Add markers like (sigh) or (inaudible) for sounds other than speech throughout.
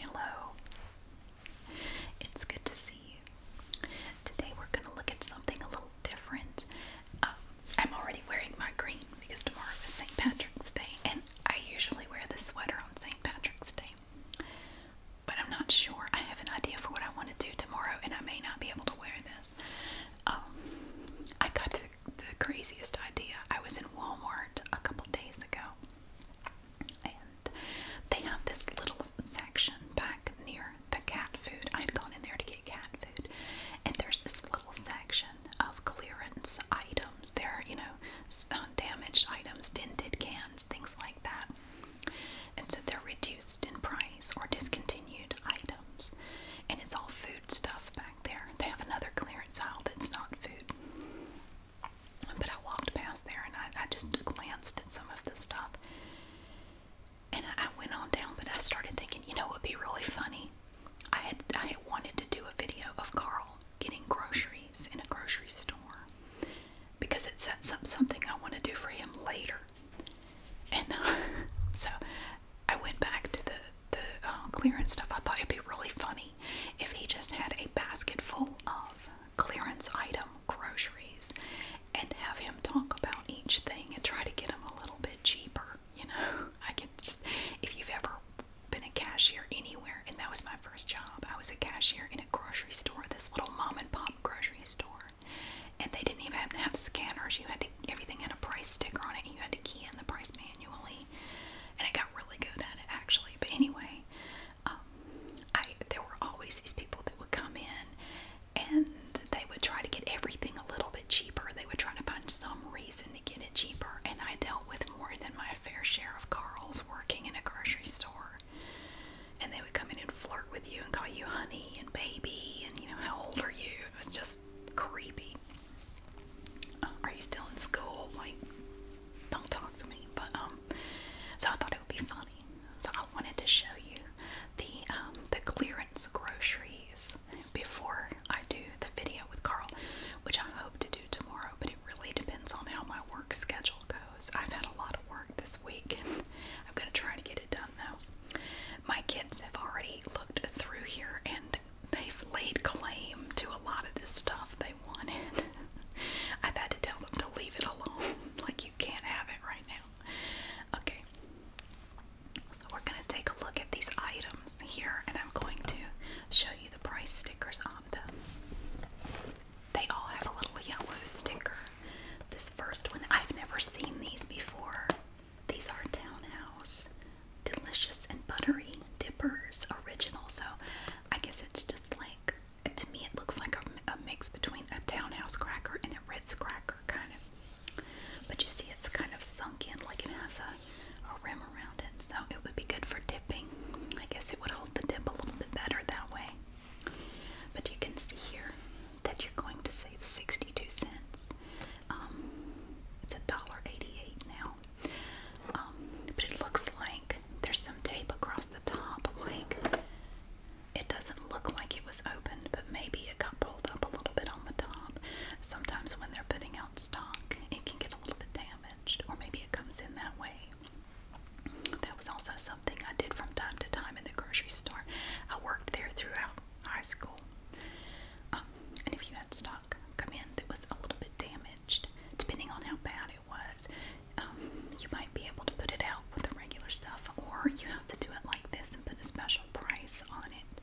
Hello. It's good to see you. Today we're going to look at something a little different. Um, I'm already wearing my green because tomorrow is St. Patrick's Day, and I usually wear this sweater on St. Patrick's Day. But I'm not sure. I have an idea for what I want to do tomorrow, and I may not be able to wear this. Um, I got the craziest idea. I was in Walmart a couple days ago. And they have this little section back near the cat food. I'd gone in there to get cat food. And there's this little section of clearance items. There are, you know, some uh, damaged items, dented cans, things like that. And so they're reduced in price or discontinued items. And it's all food stuff back there. They have another clearance aisle that's not food. But I walked past there and I, I just glanced at some of the stuff. And I, I went on down, but I started thinking, you know, it would be really funny. I had I had wanted to do a video of Carl getting groceries in a grocery store because it sets up something I want to do for him later. And uh, (laughs) so I went back to the the uh, clearance stuff. I thought it'd be really funny money if he just had a basket full of clearance item groceries and have him talk about each thing and try to get them a little bit cheaper. You know, (laughs) I can just, if you've ever been a cashier anywhere, and that was my first job, I was a cashier in a grocery store, this little mom and pop grocery store. And they didn't even have to have scanners. You had to, everything had a price sticker on it, and you had to key in the price manually. And I got really good at it actually. But anyway, um, I there were always these people that would come in and they would try to get everything a little bit cheaper. They would try to find some reason to get it cheaper, and I dealt with more than my fair share of Carls working in a grocery store. And they would come in and flirt with you and call you honey and baby and you know how old are you? It was just creepy. Uh, are you still in school? Like don't talk to me. But um, so I thought it would be funny. So I wanted to show you the um, the clearance groceries before I do the video with Carl, which I hope to do tomorrow. But it really depends on how my work schedule goes. I've had a lot of work this week, and I'm gonna try to get it done though. My kids have already looked through here and they've laid claim to a lot of this stuff. They (laughs) I've had to tell them to leave it alone. (laughs) like you can't have it right now. Okay. So we're gonna take a look at these items here and I'm going to show you the price stickers on them. They all have a little yellow sticker. This first one, I've never seen these before. These are townhouse. Delicious and buttery dippers original. So I guess it's just like to me it looks like a, mix between a townhouse cracker and a red cracker kind of but you see it's kind of sunk in like it has a, rim around it so it would be good for dipping I guess it would hold the dip a little bit better that way but you can see here that you're going to save 62 cents um, it's a dollar 88 now um, but it looks like there's some tape across the top, like it doesn't look like it was opened, but maybe it got pulled up a little bit on the top. Sometimes when they're putting out stock, it can get a little bit damaged, or maybe it comes in that way. That was also something I did from time to time in the grocery store. I worked there throughout high school. Um, and if you had stock come in that was a little bit damaged, depending on how bad it was, um, you might be able to put it out with the regular stuff, or you have to do it like this and put a special price on it.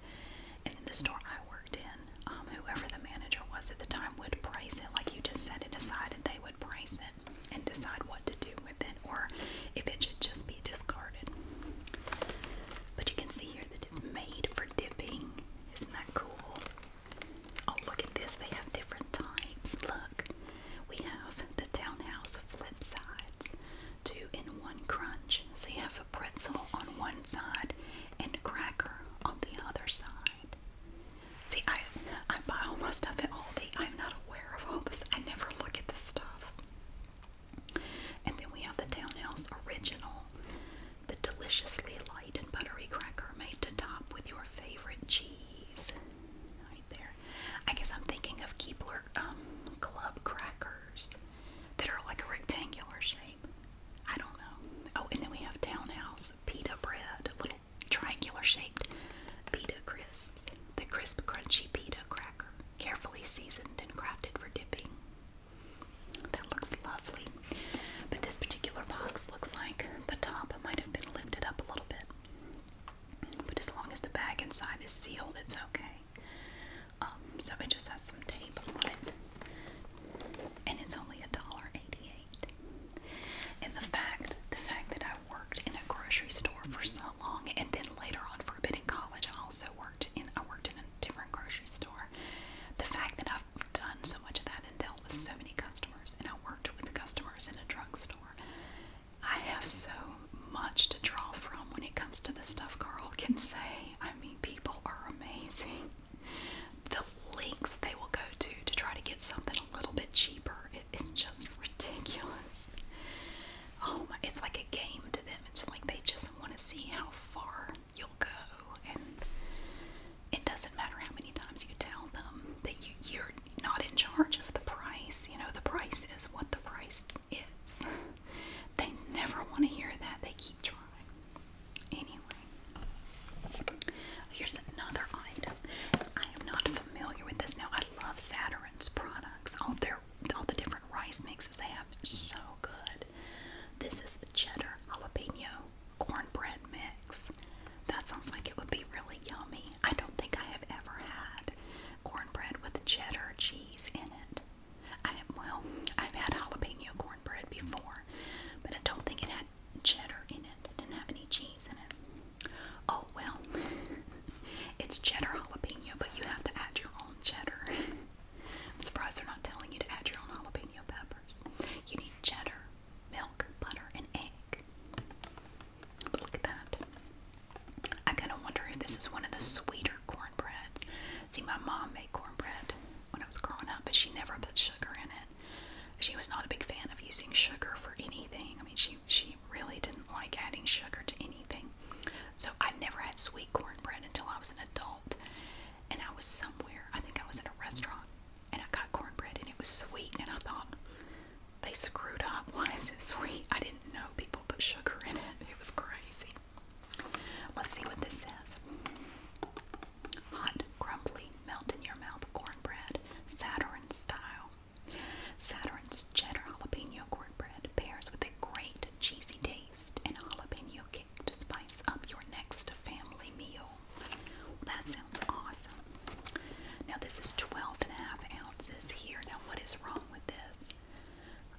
And in the store I worked in, um, whoever the manager was at the time would price it like you just set it aside, and they would price it and decide what to do with it, or if it should just be discarded. But you can see here that it's made for dipping. Isn't that cool? Oh, look at this. They have different types. Look, we have the townhouse flip sides, two in one crunch. So you have a pretzel on one side and a cracker on the other side. See, I, I buy all my stuff at Aldi. I'm not aware of all this. I never look at this stuff. And then we have the Townhouse Original, the deliciously light and buttery cracker made to top with your favorite cheese cheese right there. I guess I'm thinking of Keebler um, club crackers that are like a rectangular shape. I don't know. Oh, and then we have Townhouse pita bread, little triangular shaped pita crisps, the crisp, crunchy pita cracker, carefully seasoned and crafted for dipping. That looks lovely. But this particular box looks like the top top might have been lifted up a little bit. But as long as the bag inside is sealed, it's okay. Um, so it just has some tape on it. And it's only a dollar eighty-eight. And the fact, the fact that I worked in a grocery store for so long, and then later on for a bit in college, I also worked in I worked in a different grocery store. The fact that I've done so much of that and dealt with so many customers and I worked with customers in a drugstore. I have so much to draw from when it comes to the stuff Carl can say. I mean, people are amazing. The links they will go to to try to get something a little bit cheaper, it, it's just ridiculous. Oh my, it's like a game to them. It's like they just want to see how far you'll go. And it doesn't matter how many times you tell them that you, you're not in charge of the price. You know, the price is what the price is. They never want to hear that. They keep trying. Anyway, here's another item. I am not familiar with this now. I love Saturn's products. All their all the different rice mixes they have. They're so good. This is cheddar jalapeno cornbread mix. That sounds like it would be really yummy. I don't think I have ever had cornbread with cheddar cheese in it. I have well, I've had jalapeno cornbread before, but I don't think it had cheddar in it. It didn't have any cheese in it. Oh well, (laughs) it's cheddar jalapeno, but you have to add your own cheddar. (laughs) I'm surprised they're not telling you to add your own jalapeno peppers. You need cheddar, milk, butter, and egg. look at that. I kind of wonder if this is one of the sweeter cornbreads. See, my mom made cornbread when I was growing up, but she never put sugar in it. She was not a big fan of using sugar for anything. I mean, she she really didn't like adding sugar to anything. So I never had sweet cornbread until I was an adult, and I was somewhere. I think I was in a restaurant, and I got cornbread, and it was sweet, and I thought, they screwed up. Why is it sweet? I didn't know people put sugar in it. It was crazy. Let's see what this says. Hot, crumbly, melt in your mouth cornbread, Saturn style. Saturn's cheddar jalapeno cornbread pairs with a great cheesy taste and jalapeno kick to spice up your next family meal that sounds awesome. Now, this is twelve and a half ounces here. Now, what is wrong with this?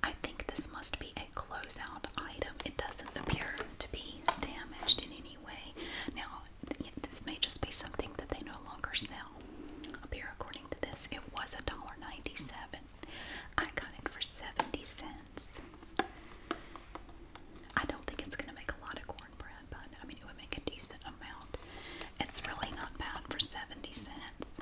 I think this must be a closeout item. It doesn't appear to be damaged in any way. Now, this may just be something that they no longer sell. Up here, according to this, it was $1.97. I got it for 70 cents. I don't think it's going to make a lot of cornbread I mean, it would make a decent amount. It's really not bad for 70 cents.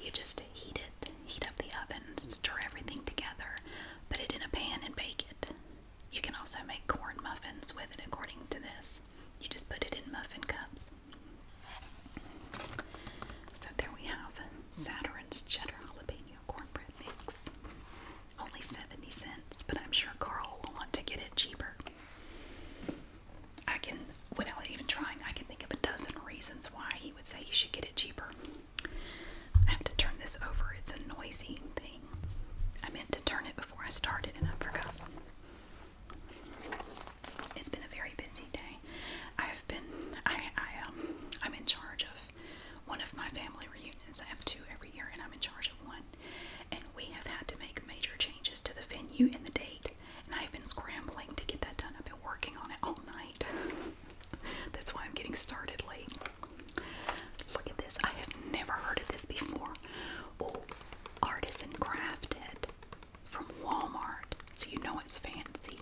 You just heat it, heat up the oven, stir everything together, put it in a pan and bake it. You can also make corn muffins with it according to this. You just put it in muffin cups. So there we have Saturn's cheddar jalapeno cornbread mix. Only 70 cents, but I'm sure Carl will want to get it cheaper. I can, without even trying, I can think of a dozen reasons why he would say you should get it cheaper. I have to turn this over, it's a noisy thing. I meant to turn it before I started and I forgot. It's been a very busy day. I have been, I, I, um, I'm in charge of one of my family reunions. I have two every year, and I'm in charge of one and we have had to make major changes to the venue and the date. And I've been scrambling to get that done. I've been working on it all night. (laughs) That's why I'm getting started late. Look at this. I have never heard of this before. Oh, artisan crafted from Walmart. So you know it's fancy.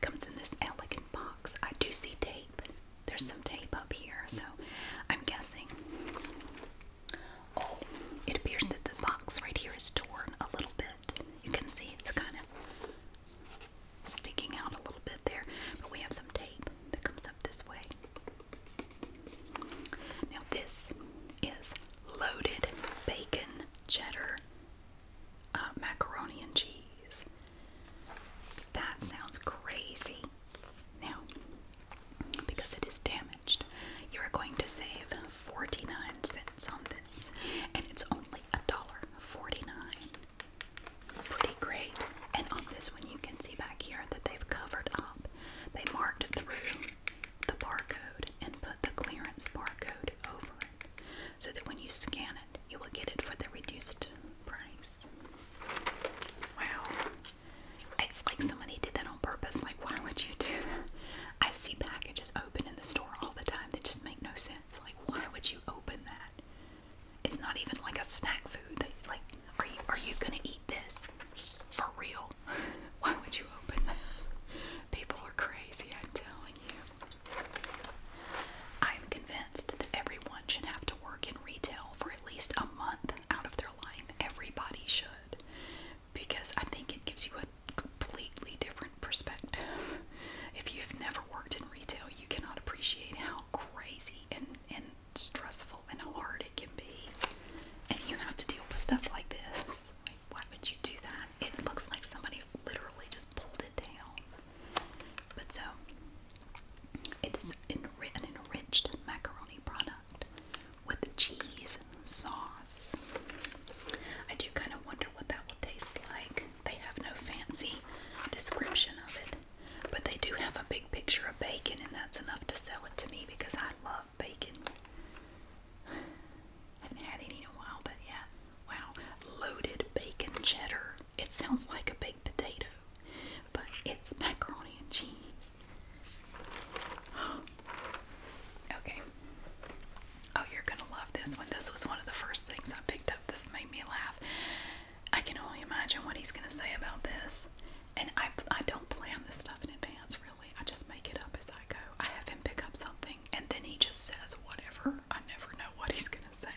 Comes in this elegant box. I do see tape. There's some tape up here, so I'm guessing. Oh, it appears that the box right here is torn a little bit. You can see it's kind of sticking out a little bit there, but we have some tape that comes up this way. Now, this is loaded bacon cheddar uh, macaroni and cheese. That sounds crazy. Now, because it is damaged, you are going to save 49 cents on this, and it's only a dollar 49. Pretty great. And on this one, you can see back here that they've covered up. They marked through the barcode and put the clearance barcode over it so that when you scan it, you will get it for the reduced price. Wow, it's like somebody did that on purpose. Like, why would you do that? I see packages open in the store all the time that just make no sense. Like, why would you open that? It's not even like a snack food. That, like, are you are you gonna eat this for real? (laughs) Why would you open that? People are crazy. I'm telling you. I am convinced that everyone should have to work in retail for at least a month out of their life. Everybody should. Because I think it gives you a completely different perspective. If you've never worked in retail, you cannot appreciate how crazy and, and stressful and hard it can be. And you have to deal with stuff like this. why would you do that? It looks like somebody literally just pulled it down. But so, it is an enriched macaroni product with cheese sauce. I do kind of wonder what that will taste like. They have no fancy description of it, but they do have a big picture of bacon, and that's enough to sell it to me because I love bacon. (sighs) Haven't had any in a while, but yeah. Wow. Loaded bacon cheddar. It sounds like a baked potato but it's macaroni and cheese. (gasps) okay. Oh, you're gonna love this one. This was one of the first things I picked up. This made me laugh. I can only imagine what he's gonna say about this. And I, I don't plan this stuff in advance, really. I just make it up as I go. I have him pick up something and then he just says whatever. I never know what he's gonna say.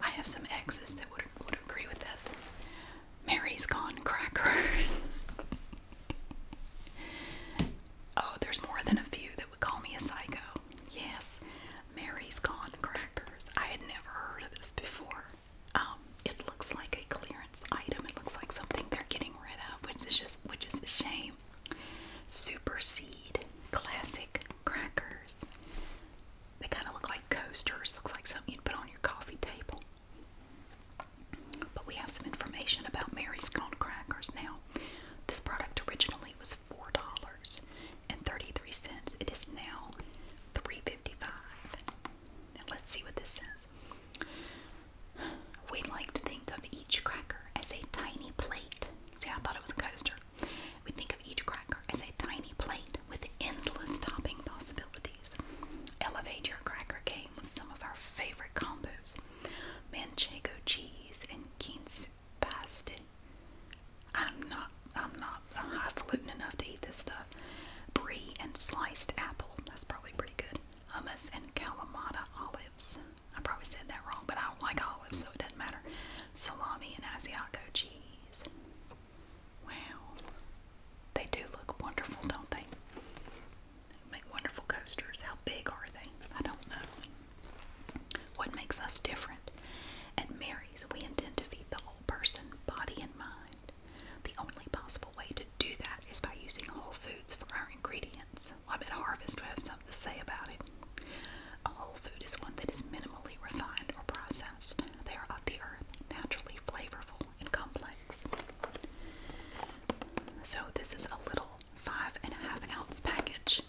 I have some exes that would, would agree with this. Mary's gone crackers. (laughs) oh, there's more than a few that would call me a psycho. Yes, Mary's gone crackers. I had never heard of this before. Um, it looks like a clearance item. It looks like something they're getting rid of, which is just which is a shame. Supersede classic crackers. They kind of look like coasters. Looks like something you'd put on your coffee table. But we have some information about Mary's has Crackers now. This product originally was four dollars and thirty-three cents. It is now three fifty-five. Now let's see what this says. We'd like to think of each cracker as a tiny plate. See, I thought it was a coaster. We think of each cracker as a tiny plate with endless topping possibilities. Elevate your cracker game with some of our favorite combos manchego cheese and quince pasta. I'm not, I'm not highfalutin enough to eat this stuff. Brie and sliced apple, that's probably pretty good. Hummus and Kalamata olives. I probably said that wrong, but I don't like olives, so it doesn't matter. Salami and Asiago cheese. Wow. They do look wonderful, don't they? Make wonderful coasters. How big are they? I don't know. What makes us different? At Mary's, we intend to feed the whole person, body, and mind. The only possible way to do that is by using whole foods for our ingredients. I bet Harvest would have something to say about it. A whole food is one that is minimally refined or processed. They are of the earth, naturally flavorful and complex. So, this is a little five and a half ounce package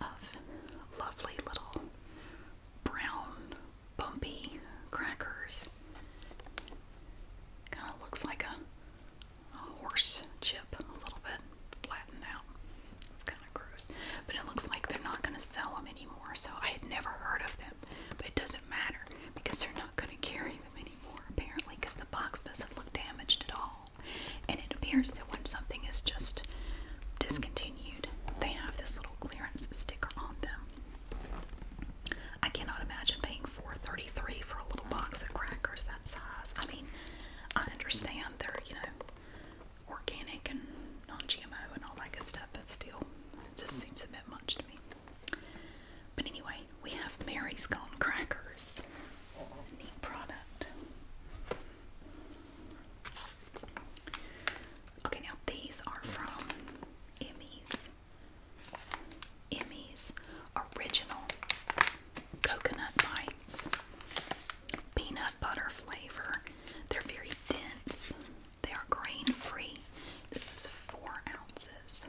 of lovely little brown, bumpy crackers. Kind of looks like a, horse chip, a little bit flattened out. It's kind of gross. But it looks like they're not going to sell them anymore, so I had never heard of them. But it does not doesn't matter because they're not going to carry them anymore, apparently, because the box doesn't look damaged at all. And it appears that when something is just discontinued, they have this little clearance sticker on them. I cannot imagine paying $4.33 for a little box of crackers that size. I mean, I understand they're, you know, organic and non-GMO and all that good stuff, but still, it just seems a bit much to me. But anyway, we have Mary's Gone Crackers. A neat product. Okay, now these are from Emmy's. Emmy's Original Coconut Bites. Peanut butter flavor. They're very dense. They are grain free. This is four ounces.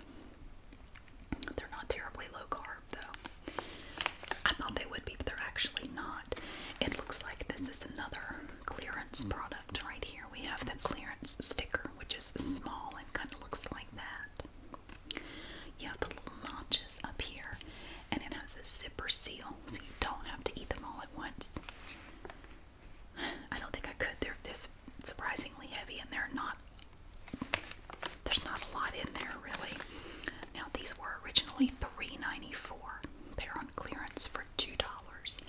They're not terribly low carb though. I thought they would be, but they're actually not. It looks like this is another clearance product right here. We have the clearance sticker, which is small and kind of looks like that. You have the little notches up here, and it has a zipper seal, so you don't have to eat them all at once. I don't think I could. They're this surprisingly heavy, and they're not. There's not a lot in there really. Now these were originally three They're on clearance for two dollars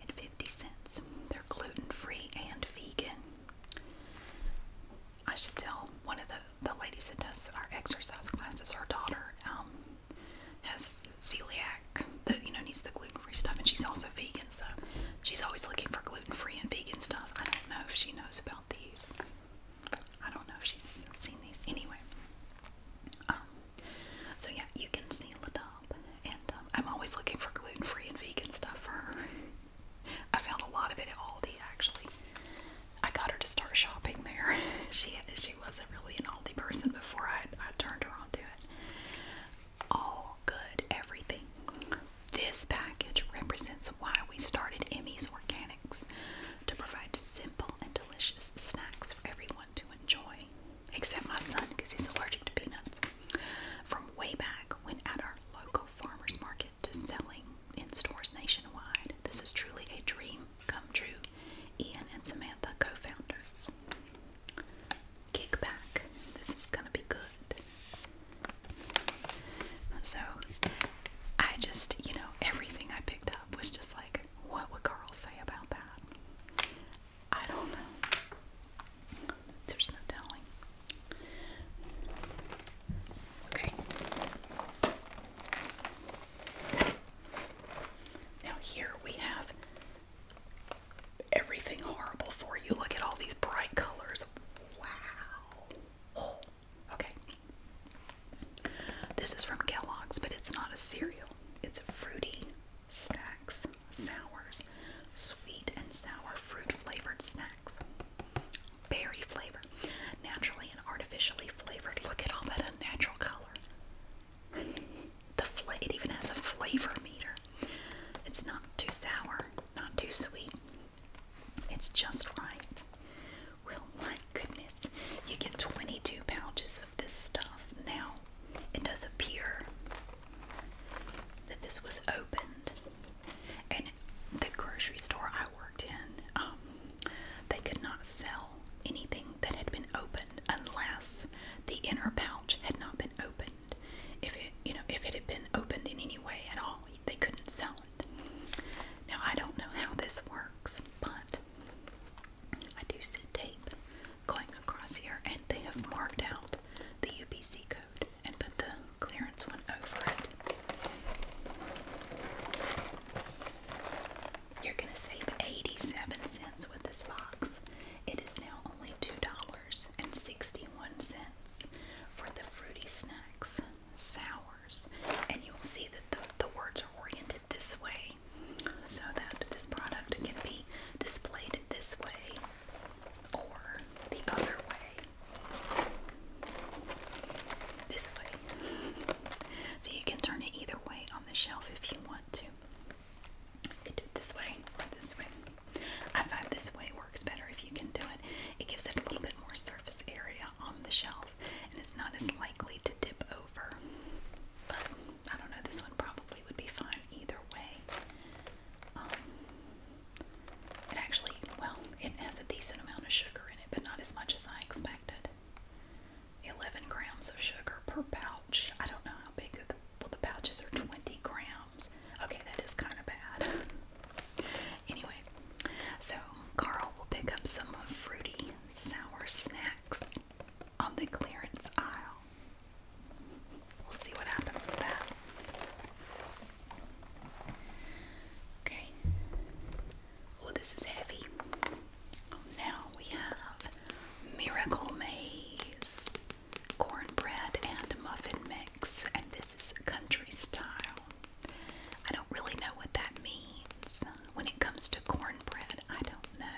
and fifty cents. They're gluten free and vegan. I should tell one of the the ladies that does our exercise classes. Her daughter um, has celiac that you know needs the gluten-free stuff and she's also vegan so she's always looking for gluten-free and vegan stuff i don't know if she knows about these i don't know if she's seen these anyway um, so yeah you can see the top, and um, i'm always looking for gluten-free and vegan stuff for her i found a lot of it at aldi actually i got her to start shopping there (laughs) she she wasn't really an aldi person before i, I turned her on to it all good, everything. This package represents why we started Emmy's Organics to provide simple and delicious snacks for everyone to enjoy, except my son because he's allergic to peanuts. From way back when at our local farmers market to selling in stores nationwide, this is truly a dream come true. Ian and Samantha, co founders kick back. This is gonna be good. So I just, you know, everything I picked up was just like, what would Carl say about that? I don't know. There's no telling. Okay. Now, here we have everything horrible for you. Look at all these bright colors. Wow. Oh, okay. This is from Kellogg's, but it's not a cereal. It's fruity snacks, sours, sweet and sour fruit flavored snacks, berry flavor, naturally and artificially flavored. Look at all that unnatural color. (laughs) The it even has a flavor meter. It's not too sour, not too sweet. It's just right. Well, my goodness, you get 22 pouches of this stuff. Now, it does appear that this was opened, and the grocery store I worked in, um, they could not sell anything that had been opened unless the inner pouch had not been opened. If it, you know, if it had been opened in any way at all, they couldn't sell it. Now I don't know how this works, but I do see tape going across here, and they have marked out the UPC code and put the clearance one over it. You're going to save 87 cents with this box. It is now only $2 and sixty-one cents for the fruity snacks, sours. And you will see that the, the words are oriented this way so that this product can be displayed this way or the other way. This way. So you can turn it either way on the shelf if you want to. You can do it this way this way. I find this way works better if you can do it. It gives it a little bit more surface area on the shelf and it's not as likely to dip over. But I don't know, this one probably would be fine either way. Um, it actually, well, it has a decent amount of sugar in it, but not as much as I expected. 11 grams of sugar per pouch. I don't know how big of the well the pouches are 20 grams. Okay, that is kind of bad. (laughs) anyway, so Carl will pick up some fruity sour snacks on the clearance aisle. We'll see what happens with that. Okay. Oh, this is heavy. Now we have Miracle Maze cornbread and muffin mix, and this is country style. I don't really know what that means when it comes to cornbread. I don't know.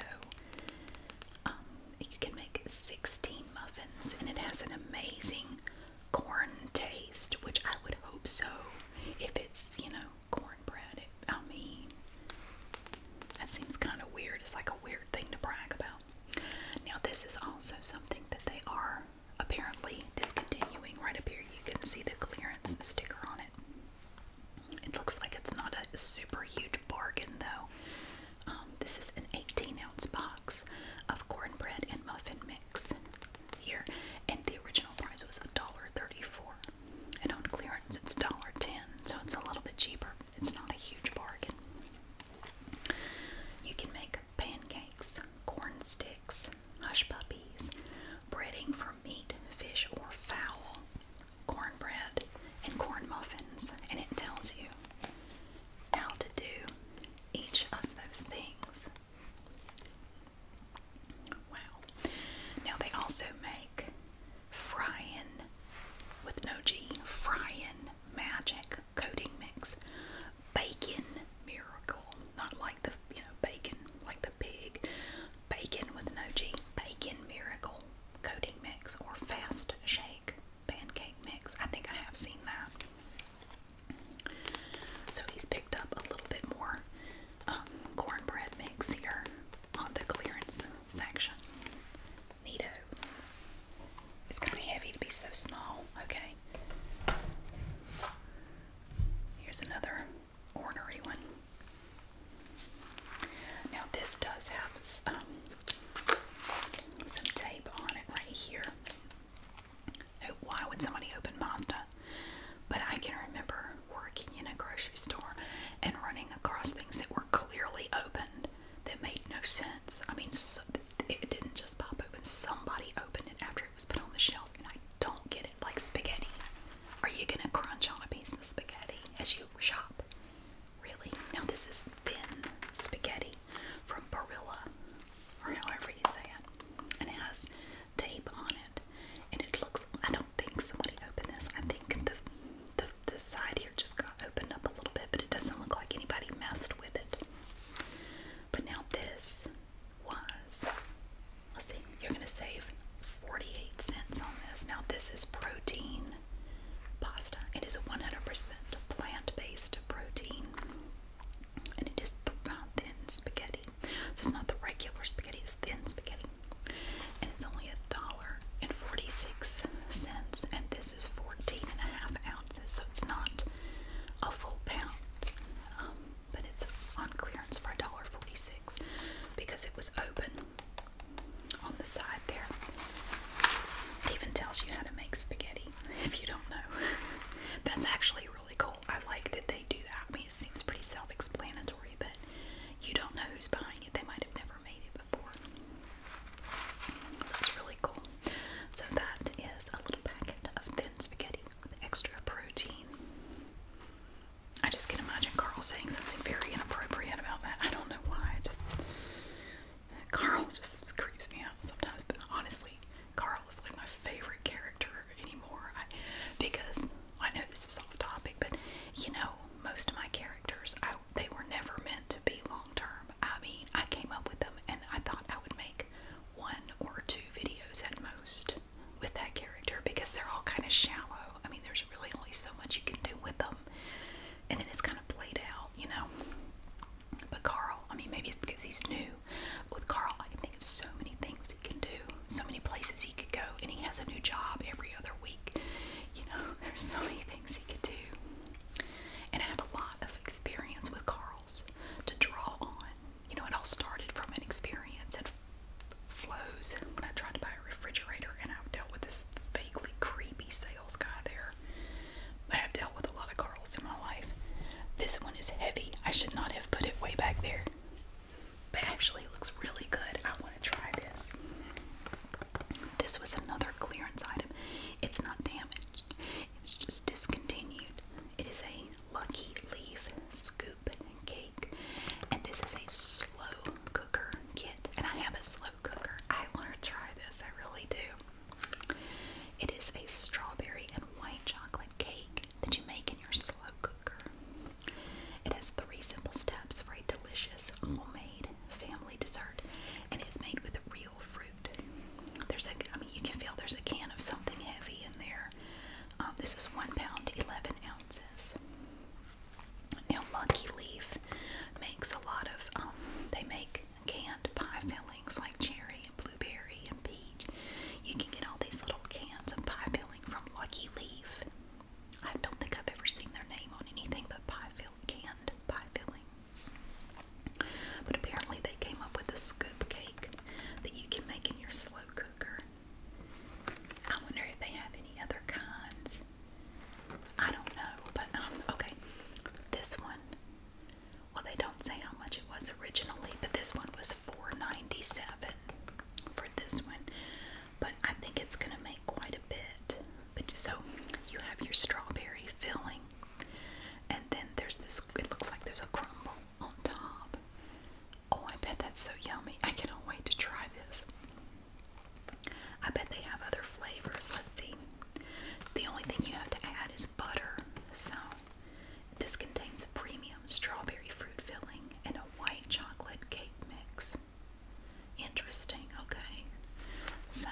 Um, you can make 16 muffins, and it has an amazing corn taste, which I would hope so. If it's, you know, cornbread, I mean, that seems kind of weird. It's like a weird thing to brag about, now, this is also something that they are apparently discontinuing right up here. You can see the clearance sticker on it. It looks like it's not a super huge bargain, though. Um, this is an 18 ounce box of cornbread and muffin mix here, and the original price was $1.34. And on clearance, it's $1.10, so it's a little bit cheaper. It's not a huge bargain. You can make pancakes, corn sticks, hush puppies, breading for meat, fish, or fowl, cornbread, and corn muffins, and it tells you how to do each of those things. Wow. Now they also make frying with no G, frying magic coating mix. Bacon miracle. Not like the you know, bacon like the pig. Bacon with no G. Bacon miracle coating mix or fast shake pancake mix. I think I have seen that. So he's picked up a little bit more um, cornbread mix here on the clearance section. Neato. It's kind of heavy to be so small. Okay. Here's another ornery one. Now this does have some, some tape on it right here. Oh, why would somebody open Mazda? But I can remember working in a grocery store and running across things that were clearly opened that made no sense. I mean, so, it didn't just pop open. Somebody opened it after it was put on the shelf, and I don't get it. Like spaghetti. Are you gonna crunch on a piece of spaghetti as you shop? Really? Now this is thin spaghetti from Barilla, or however you say it, and it has tape on it, and it looks. I don't think somebody opened this. I think the the, the side here just got opened up a little bit, but it doesn't look like anybody messed with it. But now this was, let's see, you're going to save 48 cents on this. Now this is protein pasta. It is 100% plant-based protein. And it is th thin spaghetti. So it's not the regular spaghetti, it's thin spaghetti. And it's only a dollar and 46 cents. And this is for 14 and a half ounces, so it's not a full pound, um, but it's on clearance for $1.46 because it was open on the side there. It even tells you how to make spaghetti if you don't know. (laughs) That's actually really cool. I like that they do that. I mean, it seems pretty self explanatory, but you don't know who's behind it. They might have never made it before. So it's really cool. So that is a little packet of thin spaghetti with extra protein. I just can imagine Carl saying something very inappropriate about that. I don't know why. just Carl just creeps me out sometimes, but honestly, Carl is like my favorite character anymore. because I know this is off topic, but you know, most of my characters, they were never meant to be long long term. I mean, I came up with them and I thought I would make one or two videos at most with that character because they're all kind of shallow. I mean, there's really only so much you can do with them. And then it's kind of played out, you know. But Carl, I mean, maybe it's because he's new. With Carl, I can think of so many things he can do, so many places he could go, and he has a new job every other week. You know, (laughs) there's so many things he could do and I have a lot of experience with Carl's to draw on. You know, it all started from an experience at Flo's when I tried to buy a refrigerator and I dealt with this vaguely creepy sales guy there. But I've dealt with a lot of Carl's in my life. This one is heavy. I should not have put it way back there. But actually, it looks really good. I want to try this. This was another clearance item. It's not damaged. It's just discontinued. It is a lucky leaf scoop cake, and this is a slow cooker kit. And I have a slow cooker. I want to try this. I really do. It is a strawberry and white chocolate cake that you make in your slow cooker. It has three simple steps for a delicious homemade family dessert, and it is made with real real fruit. There's a, I mean, you can feel there's a can of something heavy in there. Um, this is one pound, 11 ounces. Now, Lucky Leaf makes a lot of, um, they make canned pie fillings like cherry and blueberry and peach. You can get all these little cans of pie filling from Lucky Leaf. I don't think I've ever seen their name on anything but pie fill canned pie filling. But apparently, they came up with a scoop cake that you can make in your slow cooker. I wonder if they have any other kinds. I don't know, but um, okay. This one, well, they don't say how much it was originally, but this one was four ninety seven for this one. But I think it's gonna make quite a bit. But so you have your strawberry filling and then there's this, it looks like there's a crumble on top. Oh, I bet that's so yummy. I cannot wait to try this. I bet they have other flavors. Let's see. The only thing you have to add is butter. So, this contains premium strawberry fruit filling and a white chocolate cake mix. Interesting, okay. So,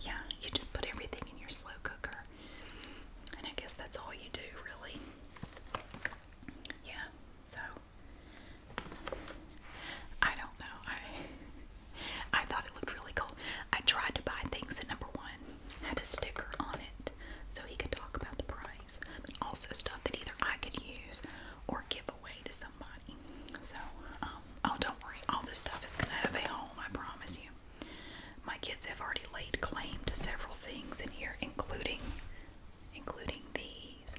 yeah, you just put everything in your slow cooker and I guess that's all you do, really. Yeah, so I don't know. I I thought it looked really cool. I tried to buy things that number one had a sticker on it so he could talk about the price, also stuff that either I could use or give away to somebody. So, um, oh, don't worry, all this stuff is gonna have home, I promise you. My kids have already laid claim to several things in here, including including these.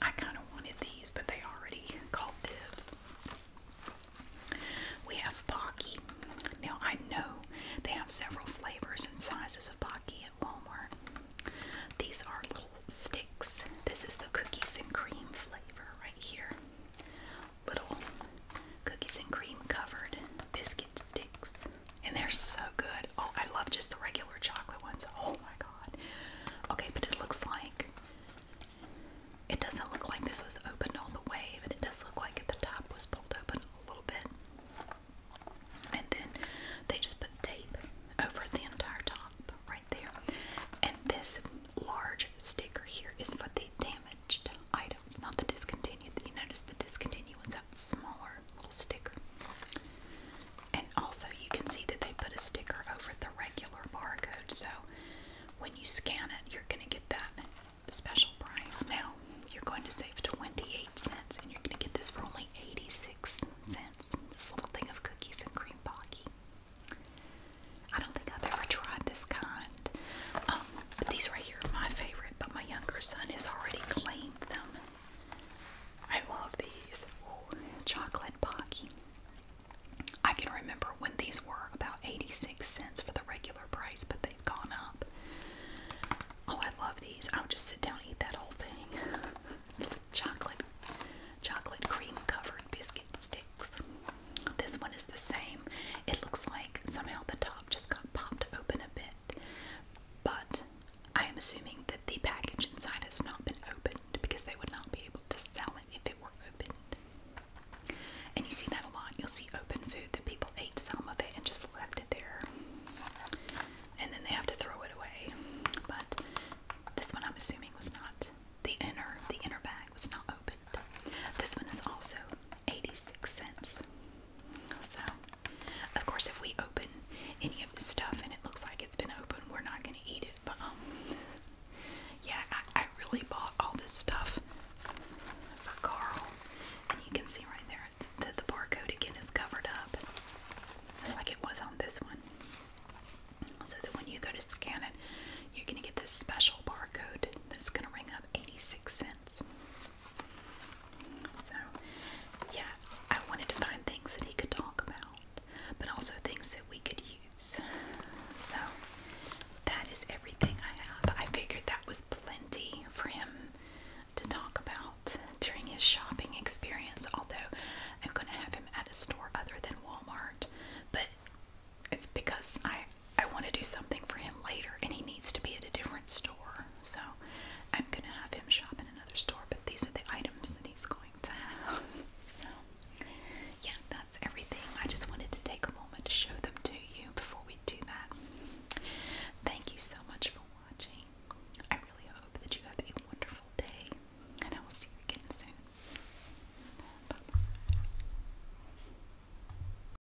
I kind of wanted these, but they already called dibs. We have Pocky. Now I know they have several flavors and sizes of Pocky at Walmart. These are little sticks. This is the cookies and cream flavor right here little cookies and cream covered biscuit sticks. And they're so good. Oh, I love just the regular chocolate ones. Oh my god. Okay, but it looks like it doesn't look like this was opened all the way, but it does look like the top was pulled open a little bit. And then they just put tape over the entire top right there. And this large sticker here is what they damaged damaged items, not the discontinued. You notice the discontinued ones have the smaller little sticker. And also, you can see that they put a sticker over the regular barcode, so when you scan it, you're going to get that special price. Now, you're going to save 28 cents, and you're going to get this for only 86 cents. This little thing of cookies and cream pocky. I don't think I've ever tried this kind. Um, but these right here are my favorite, but my younger son has already claimed them. I love these. chocolate Pocky. I can remember when these were about 86 cents for the regular price, but they've gone up. Oh, I love these. I would just sit down and eat that whole thing. (laughs) chocolate, chocolate cream covered biscuit sticks. This one is the same. It looks like somehow the top just got popped open a bit. But I am assuming that the package inside has not been opened because they would not be able to sell it if it were opened. And you see that a lot. You'll see open food that people ate some of it and just left it there. And then they have to throw it away. But this one I'm assuming was not the inner the inner bag was not open. This one is also 86 cents. So, of course, if we open any of this stuff and it looks like it's been open, we're not going to eat it. But, um, yeah, I, I really bought all this stuff for Carl. And you can see right there that the barcode again is covered up, just like it was on this one. So that when you go to scan it, you're going to get this special barcode that's going to ring up 86 cents. So, yeah, I wanted to find things that he could talk about, but also things that we could use. So, that is everything I have. I figured that was plenty for him to talk about during his shopping experience, although I'm going to have him at a store other than Walmart. But it's because I I want to do something for him later, and he needs to be at a different store. So I'm going to have him shop in another store, but these are the items that he's going to have. (laughs) so, yeah, that's everything. I just wanted to take a moment to show them to you before we do that. Thank you so much for watching. I really hope that you have a wonderful day, and I will see you again soon. Bye